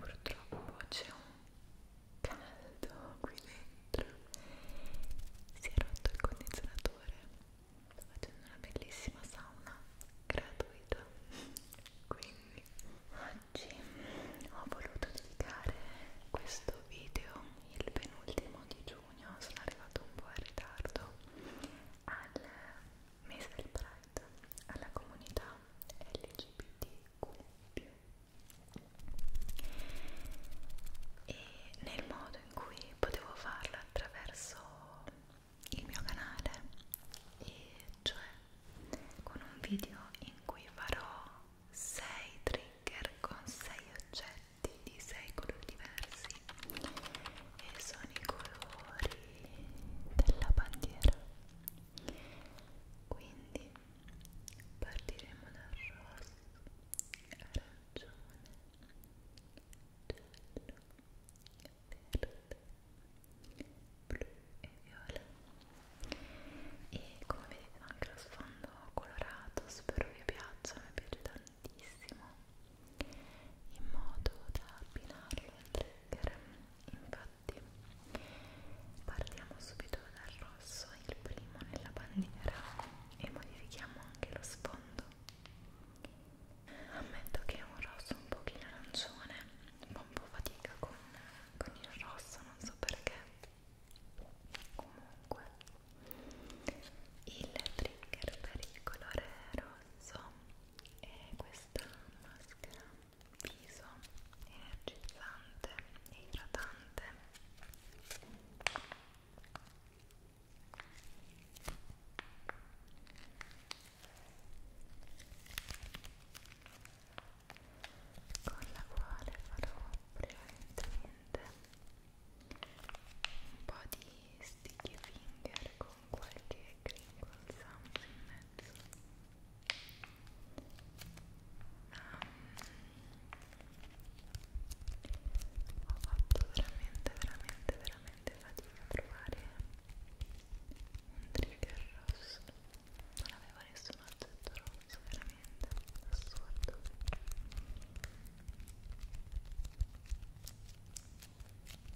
purtroppo c'è un caldo qui dentro si è rotto il condizionatore sto facendo una bellissima sauna gratuita quindi oggi ho voluto dedicare questo video il penultimo di giugno sono arrivato un po' in ritardo al mese del Pride dedicata alla comunità LGBTQ e nel modo in cui potevo farlo attraverso il mio canale e cioè con un video in cui farò 6 trigger con 6 oggetti di 6 colori diversi e sono i colori della bandiera quindi partiremo dal rosso arancione giallo verde blu e viola e come vedete anche lo sfondo colorato spero vi piaccia mi piace tantissimo in modo da abbinarlo al trigger infatti tutti partiamo subito dal rosso il primo nella bandiera e modifichiamo anche lo sfondo ammetto che è un rosso un pochino arancione ma un po' fatica con, con il rosso non so perché comunque il trigger per il colore rosso è questa maschera viso energizzante e idratante con la quale farò prevalentemente un po' di sticky finger con qualche e crinkle sound in mezzo um, ho fatto veramente veramente veramente fatica a trovare un trigger rosso non avevo nessun oggetto rosso veramente assurdo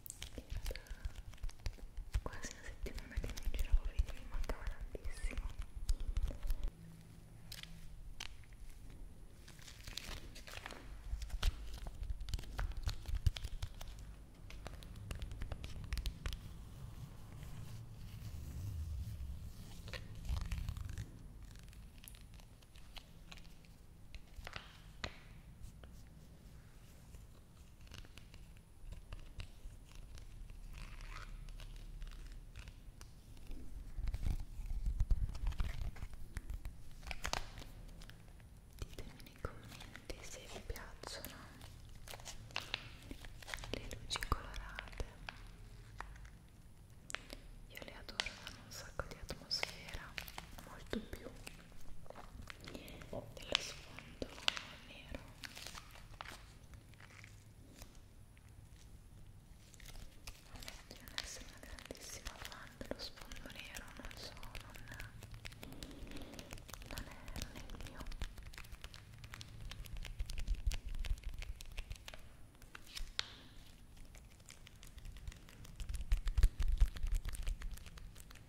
era quasi una settimana che non giravo video, mi mancava tantissimo Ditemi nei commenti se vi piacciono le luci colorate. Io le adoro, hanno un sacco di atmosfera, molto più dello sfondo nero ammetto di non essere una grandissima fan dello sfondo nero non so, non, non è, non è il mio Ecco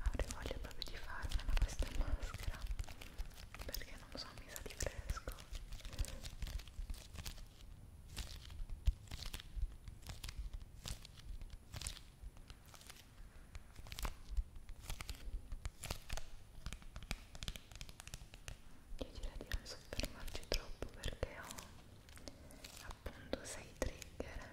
Avrei voglia proprio di farmela questa maschera perché non so, mi sa di fresco. Io direi di non soffermarci troppo perché ho appunto 6 trigger.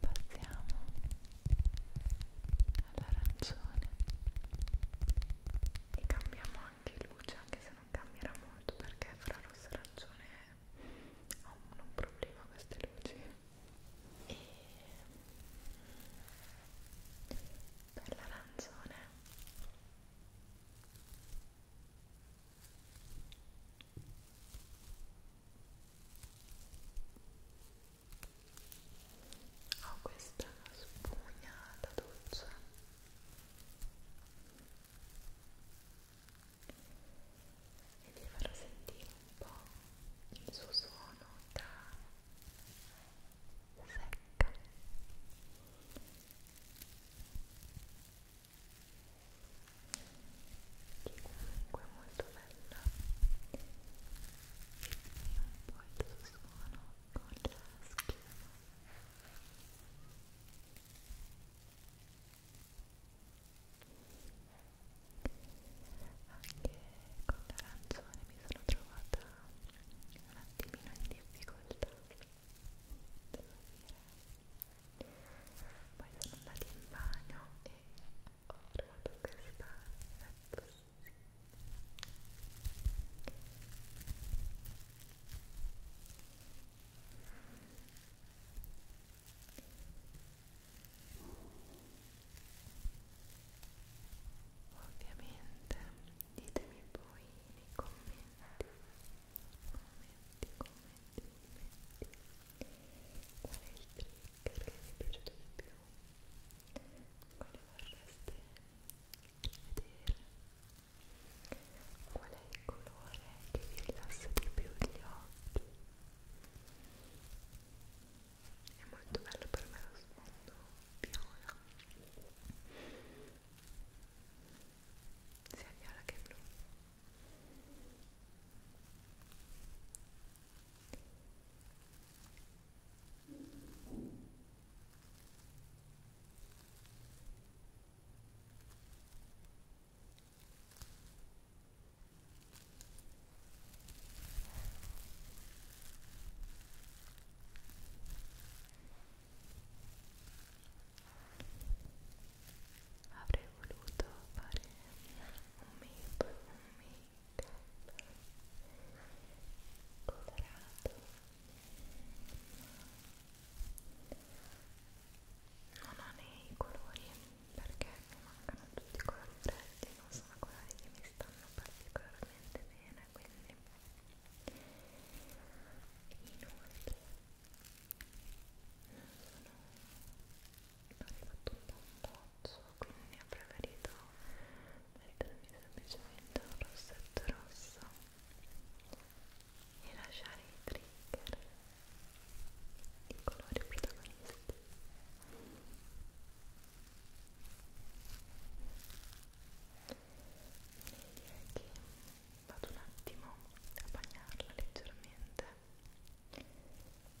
passiamo all'arancione e cambiamo anche luce anche se non cambierà molto perché fra rosso e arancione ho un problema queste luci e per l'arancione e ho questa spugna da doccia e vi farò sentire un po' il suo suono da secca che comunque è molto caramella e un po' il suo suono con la schiuma anche con l'arancione mi sono trovata un attimino in difficoltà devo dire poi sono andata in bagno e questa è possibile Ovviamente ditemi poi nei commenti, commenti, commenti, commenti qual è il trigger perché mi è piaciuto di più quale vorreste vedere qual è il colore che vi rilassa di più gli occhi è molto bello per me lo sfondo viola sia viola che blu Avrei voluto fare un make, un make colorato non ho né i colori perché mi mancano tutti i colori freddi non sono colori che mi stanno particolarmente bene quindi inoltre non sono ho rifatto un po' un pozzo quindi ho preferito mettermi semplicemente un rossetto rosso e lasciare i trigger i colori protagonisti direi che vado un attimo a bagnarla leggermente sentirete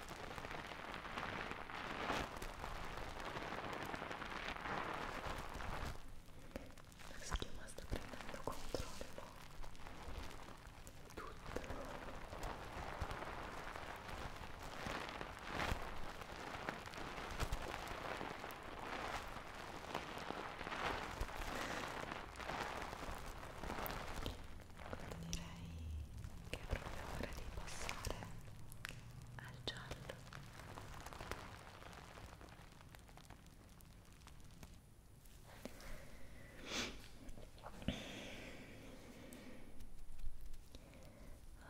La schiuma sta prendendo controllo di tutto. Direi che è proprio ora di passare al giallo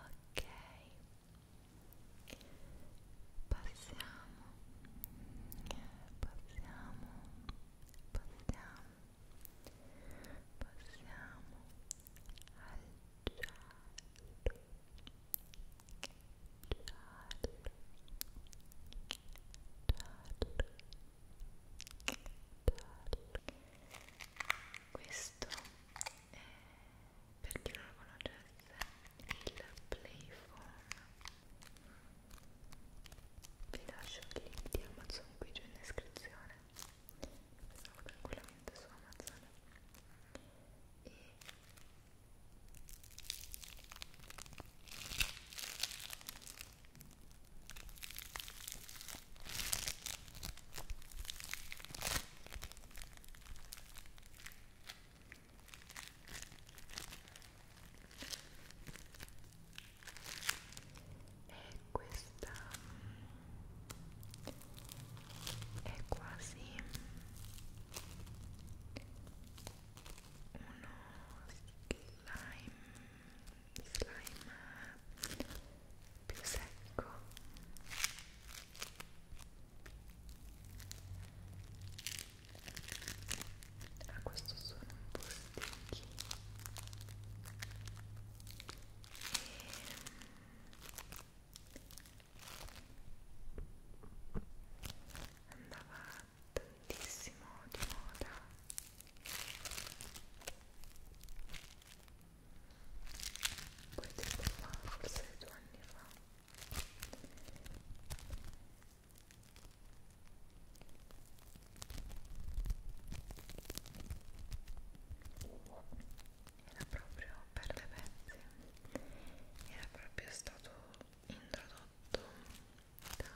ok passiamo passiamo passiamo passiamo questo è per chi non lo conoscesse il Playform vi lascio il link di Amazon qui giù in descrizione pensavo tranquillamente su Amazon e è questa è quasi uno slime slime più secco a ah, questo sono un po' sticky e andava tantissimo di moda questo è qua forse due anni fa era proprio per le pezze era proprio stato introdotto da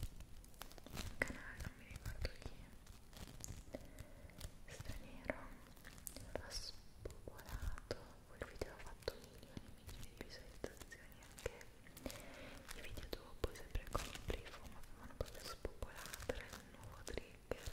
un canale non mi ricordo chi straniero ha spopolato quel video ha fatto milioni e milioni di visualizzazioni anche i video dopo sempre con il briefo ma avevano proprio spopolato era il nuovo trigger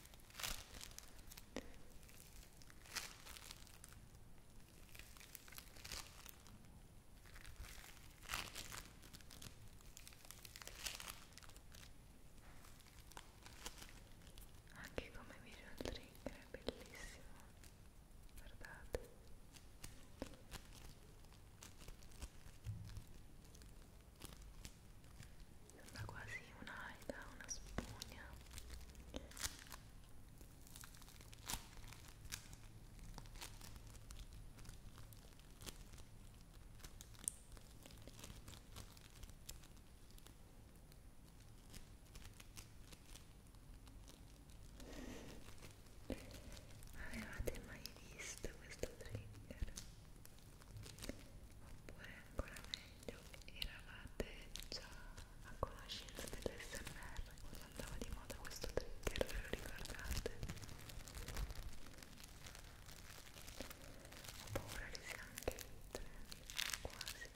anche come video trigger è bellissimo guardate sembra quasi un'alga, una spugna Avevate mai visto questo trigger? oppure ancora meglio eravate già a conoscenza dell'SMR quando andava di moda questo trigger ve lo ricordate? ho paura che sia anche il trend quasi Ecco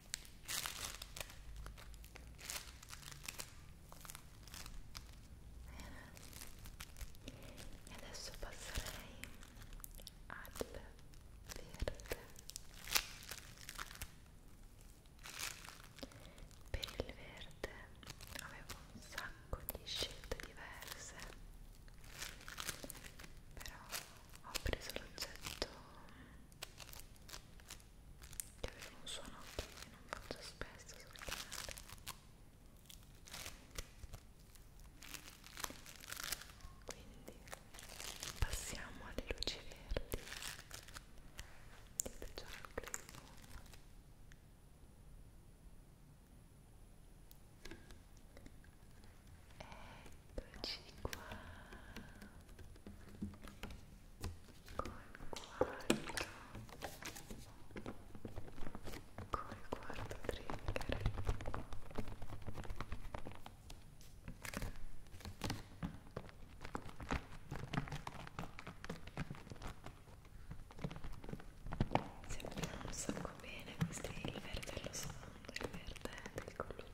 e adesso passerei al verde per il verde avevo un sacco di scelte diverse però ho preso l'oggetto che aveva un suono che non faccio spesso sul canale quindi passiamo alle luci verdi dite già il clip Eccoci qua col quarto col quarto trigger Sembrano un sacco bene questi, il verde è lo sfondo, il verde è del colore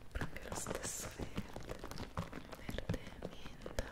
sempre anche lo stesso verde verde e menta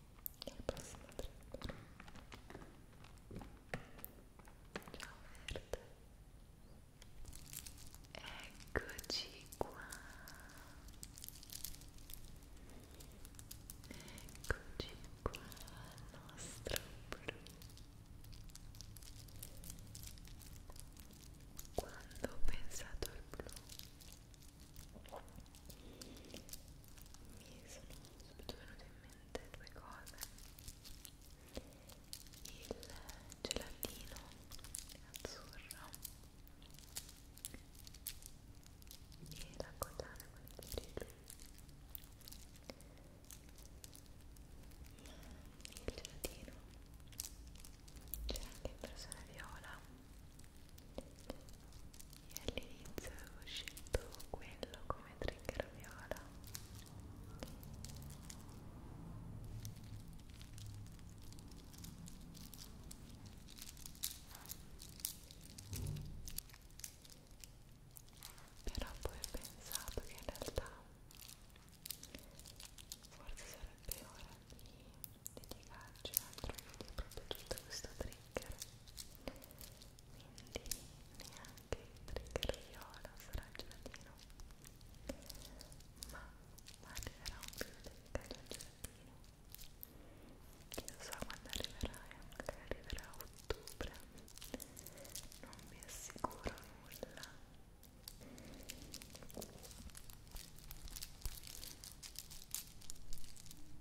al prossimo trip ciao verde eccoci qua eccoci qua al nostro blu quando ho pensato al blu mi sono subito venute in mente due cose il gelatino azzurro e la collana con il brillo il gelatino c'è anche in persona viola e all'inizio avevo scelto quello come trigger viola però poi ho pensato che in realtà forse sarebbe ora di dedicarci un altro video proprio tutto questo trigger quindi neanche il trigger viola sarà gelatino ma arriverà un video dedicato al gelatino chissà quando arriverà e anche arriverà a ottobre non vi assicuro nulla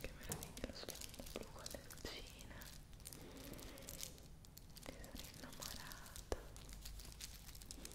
che meraviglia lo sfondo blu con le lucine mi sono innamorata Ecco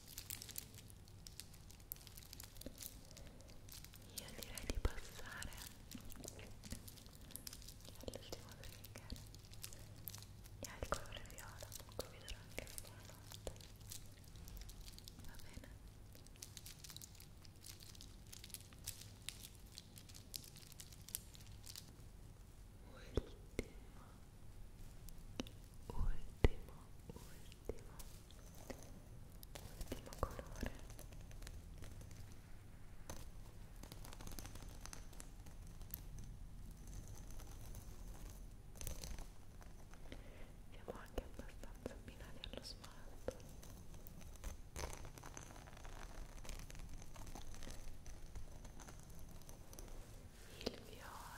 Io direi di passare all'ultimo trigger e al colore viola, comunque vi darò anche la buonanotte. Va bene? Ultimo, ultimo, ultimo ultimo ultimo colore siamo anche abbastanza abbinati allo smalto il viola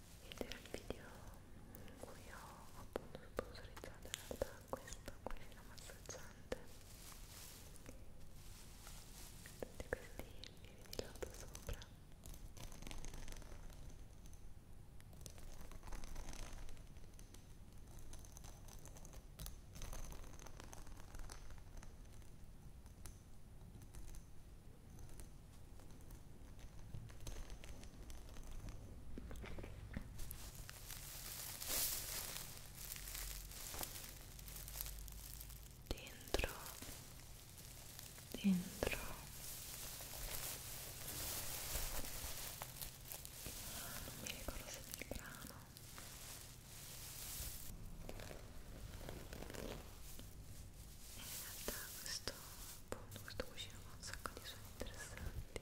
vedere il video in cui ho appunto sponsorizzato in realtà questa cucina massaggiante tutti questi vivi di lato sopra Ecco dentro dentro non mi ricordo se è il grano eh, in realtà questo appunto questo cuscino fa un sacco di suoni interessanti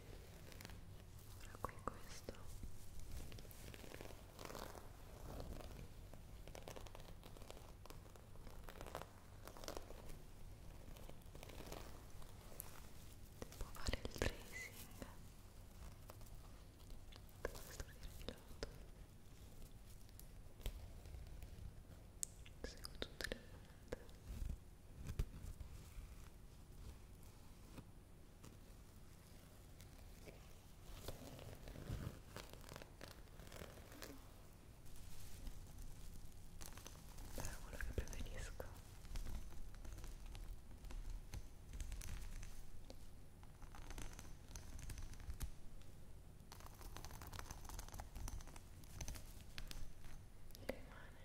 ora qui questo può fare il tracing questo è il seguo tutte le luci è quello che preferisco rimane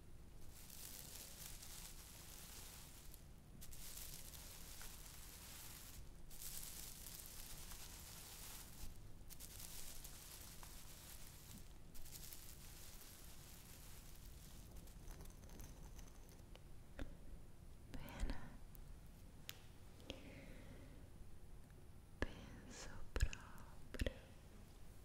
Bene, penso proprio